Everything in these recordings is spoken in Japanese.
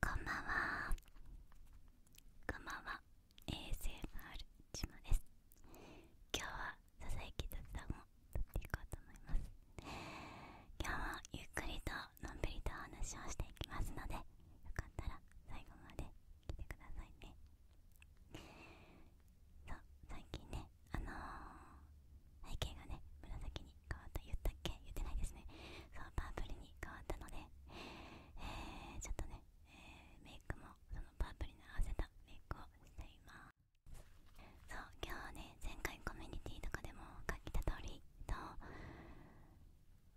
こんばんはこんばんは ASMR ちです今日はささやき雑談を撮っていこうと思います今日はゆっくりとのんびりとお話をしていきますのでよかったら最後まで来てくださいねそう最近ねあの背景がね紫に変わった言ったっけ言ってないですねそうパープルに変わったので、えちょっとね、えメイクもそのパープルに合わせたメイクをしていますそう今日はね前回コミュニティとかでも書いた通りと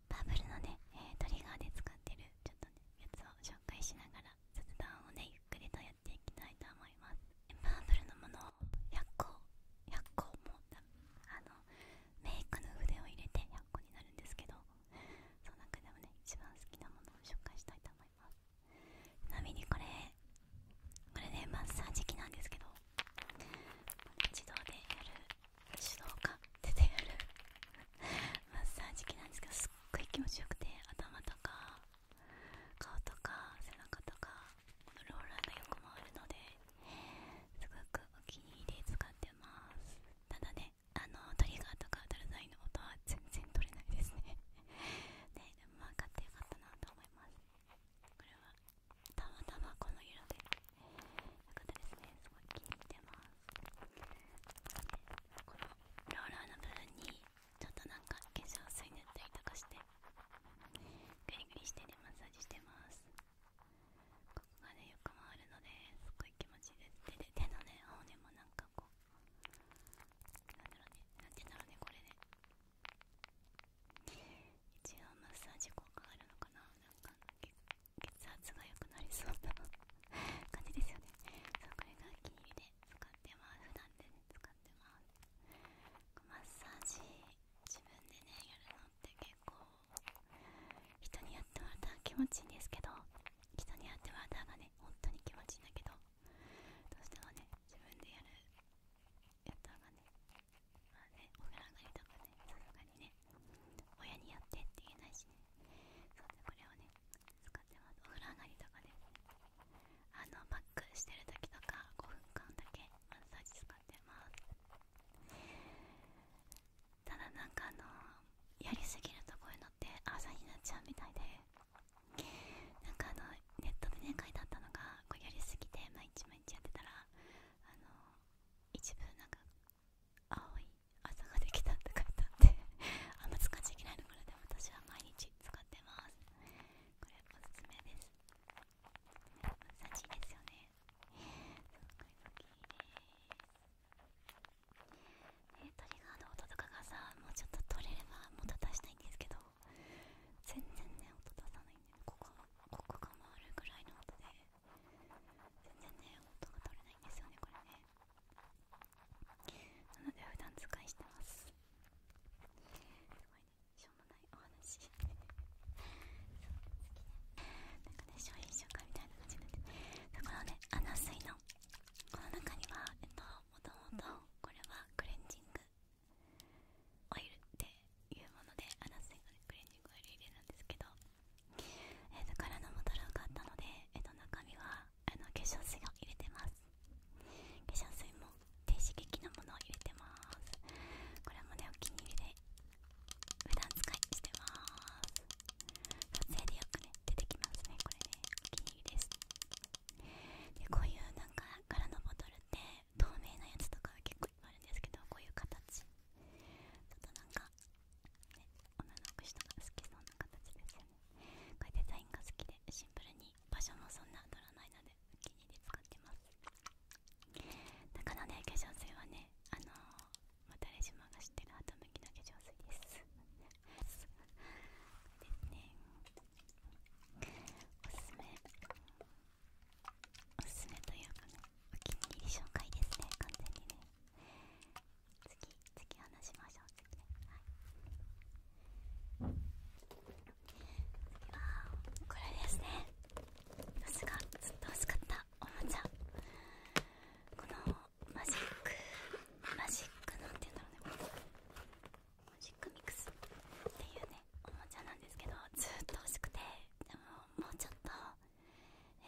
パープルのね、えトリガーで使ってるちょっとねやつを紹介しながら雑談をねゆっくりとやっていきたいと思いますマープルのものを100個100個もあのメイクの筆を入れて100個になるんですけどその中でもね一番好きなものを紹介したいと思いますちなみにこれこれねマッサージ機なんですけど自動でやる手動か手でやる マッサージ機なんですけどすっごい気持ちよくて頭とか顔とか背中とかローラーが横もあるのですごくお気に入りで使ってますただねあのトリガーとか当たらないのとは全然取れないですね でもまあ買ってよかったなと思いますこれはたまたまこの色でよかったですねすごい気に入ってますこのローラーの部分にちょっとなんか化粧水塗ったりとかしてグリグリしてねマッサージしてますここがねよく回るのですっごい気持ちで手で手のね青ねもなんかこうなんだろうねなんて言うんだろうねこれね一応マッサージ効果があるのかななんか血圧が良くなりそうな感じですよねそうこれが気に入りで使ってます普段で使ってますマッサージ自分でねやるのって結構人にやってもらったら気持ちいいんですけど人にやってもらったらね本当に気持ちいいんだけどどうしてもね自分でやるやったらねまあねお風呂上がりとかねさすがにね親にやってって言えないしねそうでこれをね使ってますお風呂上がりとかねあのバックしてる時とか5分間だけマッサージ使ってますただなんかあのやりすぎるとこういうのって朝になっちゃうみたいでなんかあのネットでね書いてあったのがこうやりすぎて毎日毎日やってたらあの一部なんか青い朝ができたって書いてあってあんま使っちゃいけないのこで私は毎日使ってますこれおすすめです優しいですよねすごい好きです、ね、トリガーの音とかがさもうちょっと取れればもた出したいんですけど全然ね音出さないんで、ね、ここここが回るぐらいの音で全然ね音が取れないんですよねこれねなので普段使いしてますしょうもないお話 ねなんかね商品紹介みたいな感じなってだからねアナスのこの中にはえっともともとこれはクレンジングオイルっていうものでアナスの、クレンジングオイル入れるんですけどえー、からのボトルを買ったので、えー、中身はあの化粧水を入れてます化粧水もって刺激のものを入れてますこれもねお気に入りで普段使いしてます撮影でよくね出てきますねこれねお気に入りですでこういうなんか柄のボトルって透明なやつとかは結構いっぱいあるんですけどこういう形ちょっとなんかね女の子人が好きそうな形ですよねこれデザインが好きでシンプルに場所もそんな取らないのでお気に入り使ってますだからね化粧水はねあのまたレジマが知ってる後向きの化粧水ですですねおすすめおすすめというかねお気に入り紹介ですね完全にね次次話しましょう次ねはいこれですね私がずっと欲しかったおもちゃこのマジックマジックなんて言うんだろうねマジックミックスっていうねおもちゃなんですけどずっと欲しくてでももうちょっと、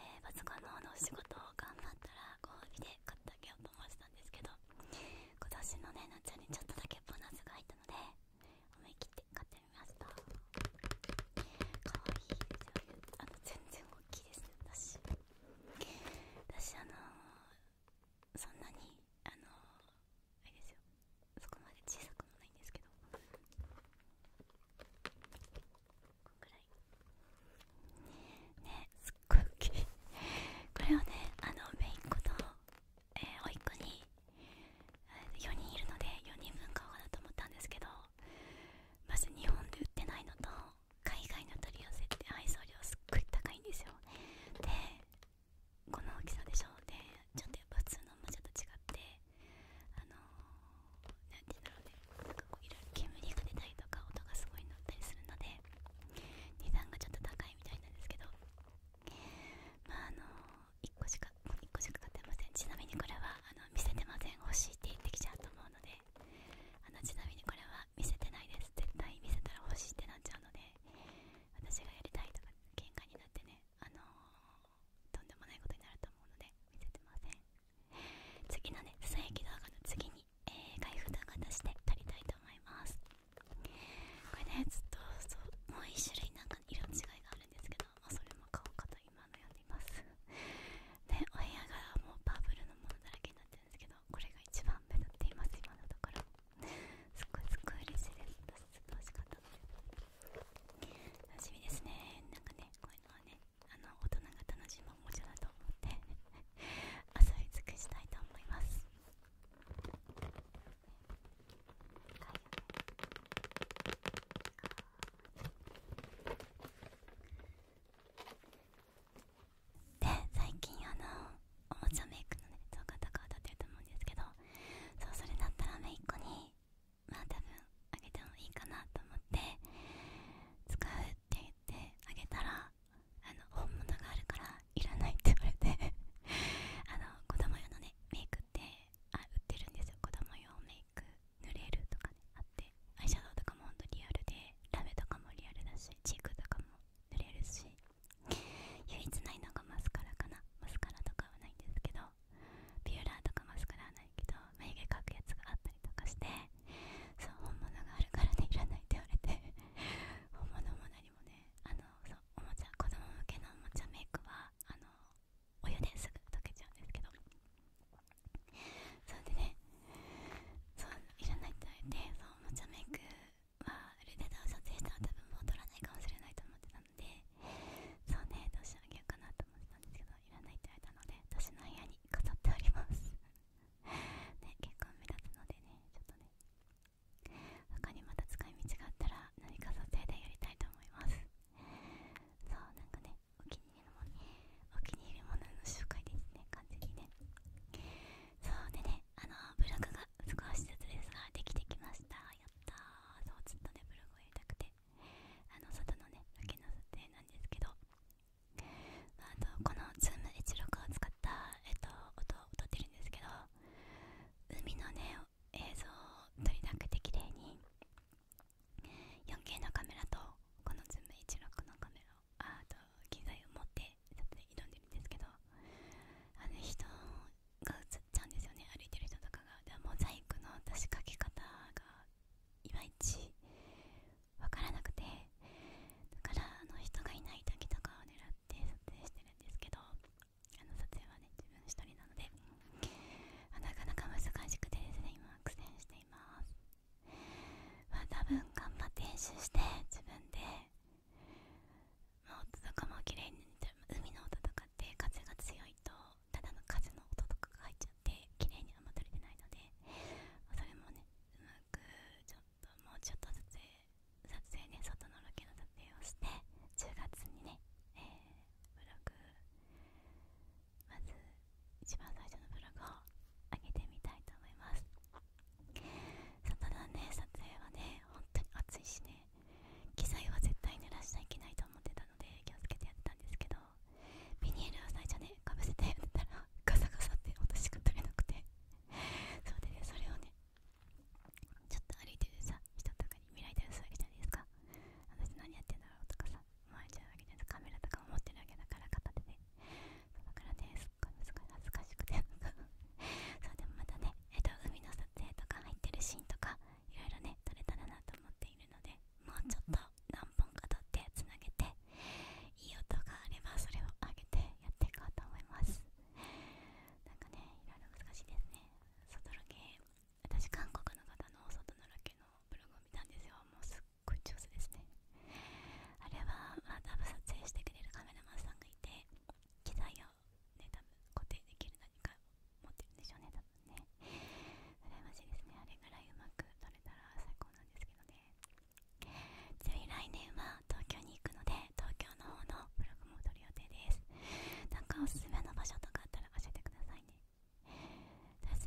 えー、パソコンのお仕事を頑張ったらご褒で買ってあげようと思ってたんですけど今年のね夏にちょっとだけボーナスが入ったので思い切っ買ってみましたかわいですよねあの全然大きいですね私私あのそんなにあのあれですよそこまで小さくもないんですけどこんぐらいねすっごい大きいこれをねあのメイン子とえー、おいっ子に4人いるので4人分買おうかなと思ったんですけどまず日本で売ってないのと海外の取り寄せって配送料すっごい高いんですよでこの大きさでしょでちょっとやっぱ普通のおもちゃと違ってあの何、て言うんだろうねなんかこういろいろ煙が出たりとか音がすごい乗ったりするので値段がちょっと高いみたいなんですけどまああの1個しか1個しか買ってませんちなみにこれはあの見せてません欲しいって言ってきちゃうと思うのであのちなみにこれは見せてないです絶対見せたら欲しいってなっちゃうので私がやりたいとか喧嘩になってねあのとんでもないことになると思うので見せてません次のね草正液動画の次に、え開封動画出して撮りたいと思いますこれねずっとそうもう1種類なんか色の違いがあるんですけど、まあ、それも買おうかと今悩んでいますでお部屋がもうパープルのものだらけになってるんですけどこれが一番目立っています今のところすっごいすっごい嬉しいです私ちっと欲しかったので楽しみですねなんかねこういうのはねあの大人が楽しむおもちゃだと思って遊び尽くしたいと思いますで最近あのおもちゃメイクのね動画とかを撮ってると思うんですけどそうそれだったらめいっ子にまあ多分あげてもいいかなと思って使うって言ってあげたらあの本物があるからいらないって言われてあの子供用のねメイクくあ売ってるんですよ子供用メイク塗れるとかねあってアイシャドウとかもほんとリアルでラメとかもリアルだしチークとかも塗れるし唯一ないのがマスカラかなマスカラとかはないんですけどビューラーとかマスカラはないけど眉毛描くやつがあったりとかしてそう本物があるからねいらないって言われて本物も何もねあのそうおもちゃ子供向けのおもちゃメイクはあのお湯ですぐ溶けちゃうんですけどそれでねそういらないとて言われてそうおもちゃメイクはルデダを撮影したら多分もうらないかもしれないと思ってたのでそうねどうしてあげようかなと思ってたんですけどいらないって言われたので私の部屋に飾っておりますね結構目立つのでねちょっとね他にまた使い道があったら何か撮影でやりたいと思いますそうなんかねお気に入りのものお気に入りものの紹介ですね完全にねそうでねあのブログが少しずつですができてきましたやったーそうずっとねブログを入れたくてあの外のねロの撮影なんですけどあとこの Zoom16 を使った、えっと、音を撮ってるんですけど海のね映像を撮りたくて綺麗に 4K のカメラとこのズーム16のカメラあと機材を持って撮影挑んでるんですけどあの人が映っちゃうんですよね歩いてる人とかがモザイクの出し、かけ方がいまいちわからなくてだからあの人がいない時とかを狙って撮影してるんですけどあの撮影はね自分一人なのでなかなか難しくてですね今苦戦していますまあ多分頑張って練習して自分でまあ音とかも綺麗に海の音とかって風が強いとただの風の音とかが入っちゃって綺麗にはんま撮れてないのでそれもねうまくちょっともうちょっとずつ撮影ね外のロケの撮影をして10月にね、えブログまず一番最初のブログを上げてみたいと思いますさのね撮影はね本当に暑いしね機材は絶対濡らしちゃいけないと思ってたので気をつけてやったんですけどビニールを最初ねかぶせてやったらガサガサって音しか取れなくてそれで、ね、それをねちょっと歩いてるさ人とかに見られたりするわけじゃないですか私何やってんだろうとかさ回れちゃうわけじゃないですかカメラとかも持ってるわけだから片手でそだからねすっごい恥ずかしくて そうでもまたねえっと海の撮影とか入ってるシーンとかいろいろね撮れたらなと思っているのでもうちょっと何本か撮ってつなげていい音があればそれを上げてやっていこうと思いますなんかねいろ難しいですね外ロケ私韓国の方の外のロケのブログを見たんですよもうすっごい上手ですねあれは、まあ、多分撮影してくれるカメラマンさんがいて機材をね多分固定できる何か持ってるんでしょうね多分ね羨ましいですねあれぐらいうまく撮れたら最高なんですけどねちなみに来年は東京に行くので東京の方のブログも撮る予定ですなんかおすすめの場所とかあったら教えてくださいね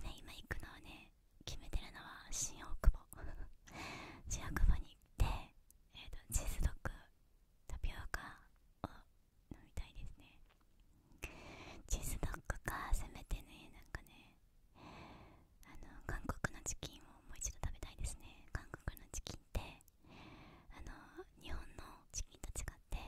ね今行くのはね決めてるのは新大久保新大久保に行ってえっ、とチーズドッグタピオカを飲みたいですねチーズドッグかせめてねなんかねあの韓国のチキンをもう一度食べたいですね韓国のチキンってあの日本のチキンと違って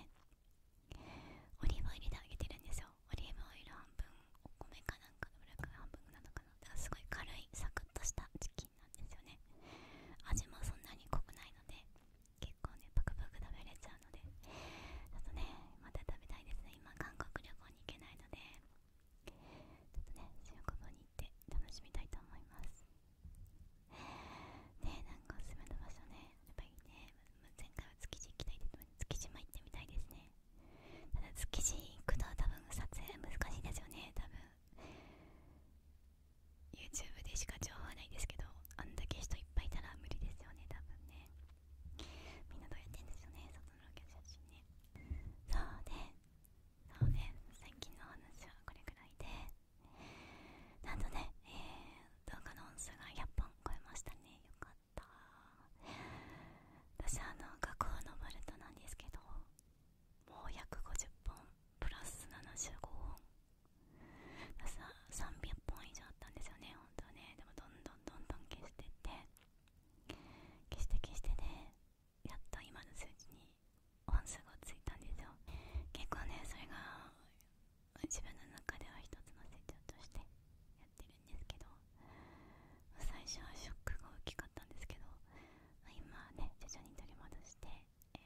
オリーブオイルで揚げてるんですよオリーブオイル半分お米かなんかのブラック半分なのかなだからすごい軽いサクッとしたチキンなんですよね味もそんなに濃くないので結構ねパクパク食べれちゃうのでちょっとねまた食べたいですね今韓国旅行に行けないのでちょっとね、中国語に行って楽しみたいと思います。ねえなんかおすすめの場所ねやっぱりね前回は築地行きたいけど、築地も行ってみたいですねただ築地行くと多分撮影難しいですよね多分 YouTube でしか情報はないですけどあんだけ人いっぱいいたら無理ですよね多分ねみんなどうやってんですよね外のロケ写真ねそうね。そうね最近の話はこれくらいでなんとね、えー、動画の音数が100本超えましたねよかった私あの学校のバルトなんですけどもう約5 0本プラス75本300本以上あったんですよね本当はねでもどんどんどんどん消してって消して消してね。やっと今の数字に本数がついたんですよ結構ねそれが自分の中では一つの成長としてやってるんですけど最初はショックが大きかったんですけど今はね徐々に取り戻して、え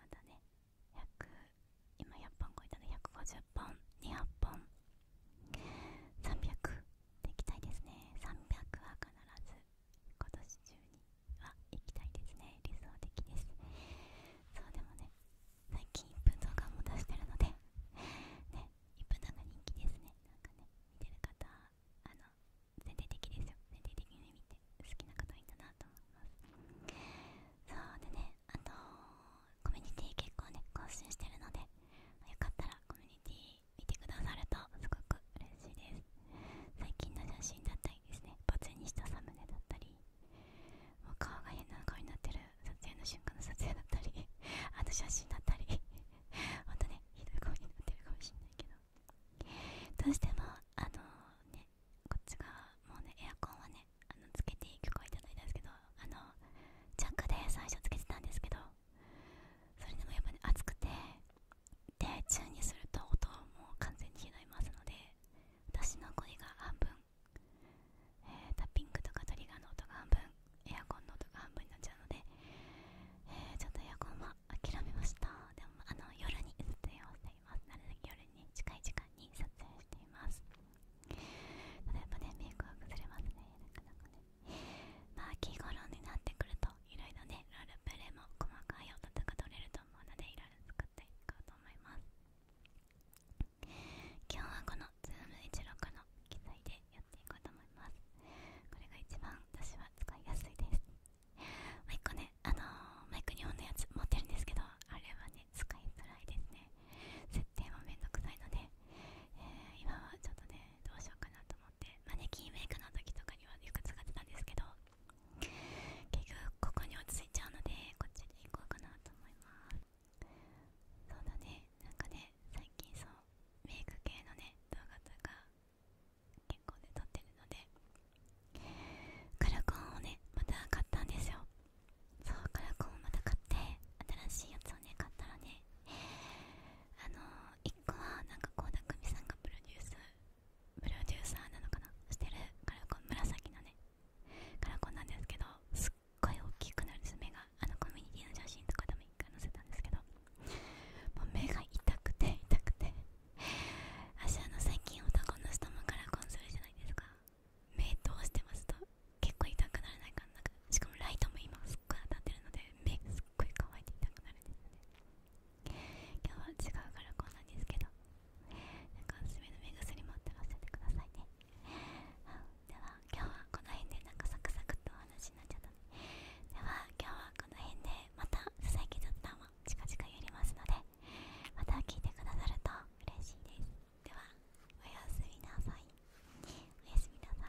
またね100今100本超えたの150本200本300でいきたいですね300は必ず今年中には行きたいですね理想的ですそうでもね最近1分動画も出してるのでね1分動画人気ですねなんかね見てる方あの全体的ですよ全体的に見て好きな方いいんだなと思いますそうでねあとコミュニティ結構ね更新してるのでよかったらコミュニティ見てくださるとすごく嬉しいです最近の写真だったりなですねバツにしたサムネだったりもう顔が変な顔になってる撮影の瞬間の撮影だったり あと写真だったりほんとねひどい顔になってるかもしんないけどどうしてもあのねこっち側もうねエアコンはねあのつけていく許可いただいたんですけどあのチャックで最初つけてたんですけどそれでもやっぱね暑くてで中にすると音も完全に拾いますので私の声が半分、えタッピングとかトリガーの音が半分エアコンの音が半分になっちゃうので、えー、ちょっとエアコンは諦めましたでもあの夜に撮影をしていますなるべく夜に近い時間に撮影していますただやっぱねメイクは崩れますねなかなかねまあ秋頃になってくるといろいろねロールプレイも細かい音とか取れるとなもいろいろ作っていこうと思います今日はこの z o o 1 6の機材でやっていこうと思いますこれが一番私は使いやすいですもう一個ねあのマイク2本のやつ持ってるんですけどあれはね使いづらいですね設定もめんどくさいので、え今はちょっとねどうしようかなと思ってマネキンメイクの時とかにはよく使ってたんですけど結局ここに落ち着いちゃうのでこっちで行こうかなと思いますそうだねなんかね最近そうメイク系のね動画とか結構で撮ってるのでカラコンをねまた買ったんですよそうカラコンをまた買って新しいやつをね買ったらねあの1個はなんか倖田來未さんがプロデュースプロデューサーなのかなしてるカラコン紫のねカラコンなんですけどすっごい大きくなるんです目があのコミュニティの写真とかでも一回載せたんですけどもう目が痛くて痛くて私あの最近男の人もカラコンするじゃないですか目通してますと結構痛くならないかなしかもライトも今すっごい当たってるので目がすっごい乾いて痛くなるんですよね今日は違うからこんなんですけどなんかおすすめの目薬もあったら教えてくださいね、では今日はこの辺でなんかサクサクっとお話になっちゃったねでは今日はこの辺でまた「佐々木雑談」も近々やりますのでまた聞いてくださると嬉しいですではおやすみなさいおやすみなさい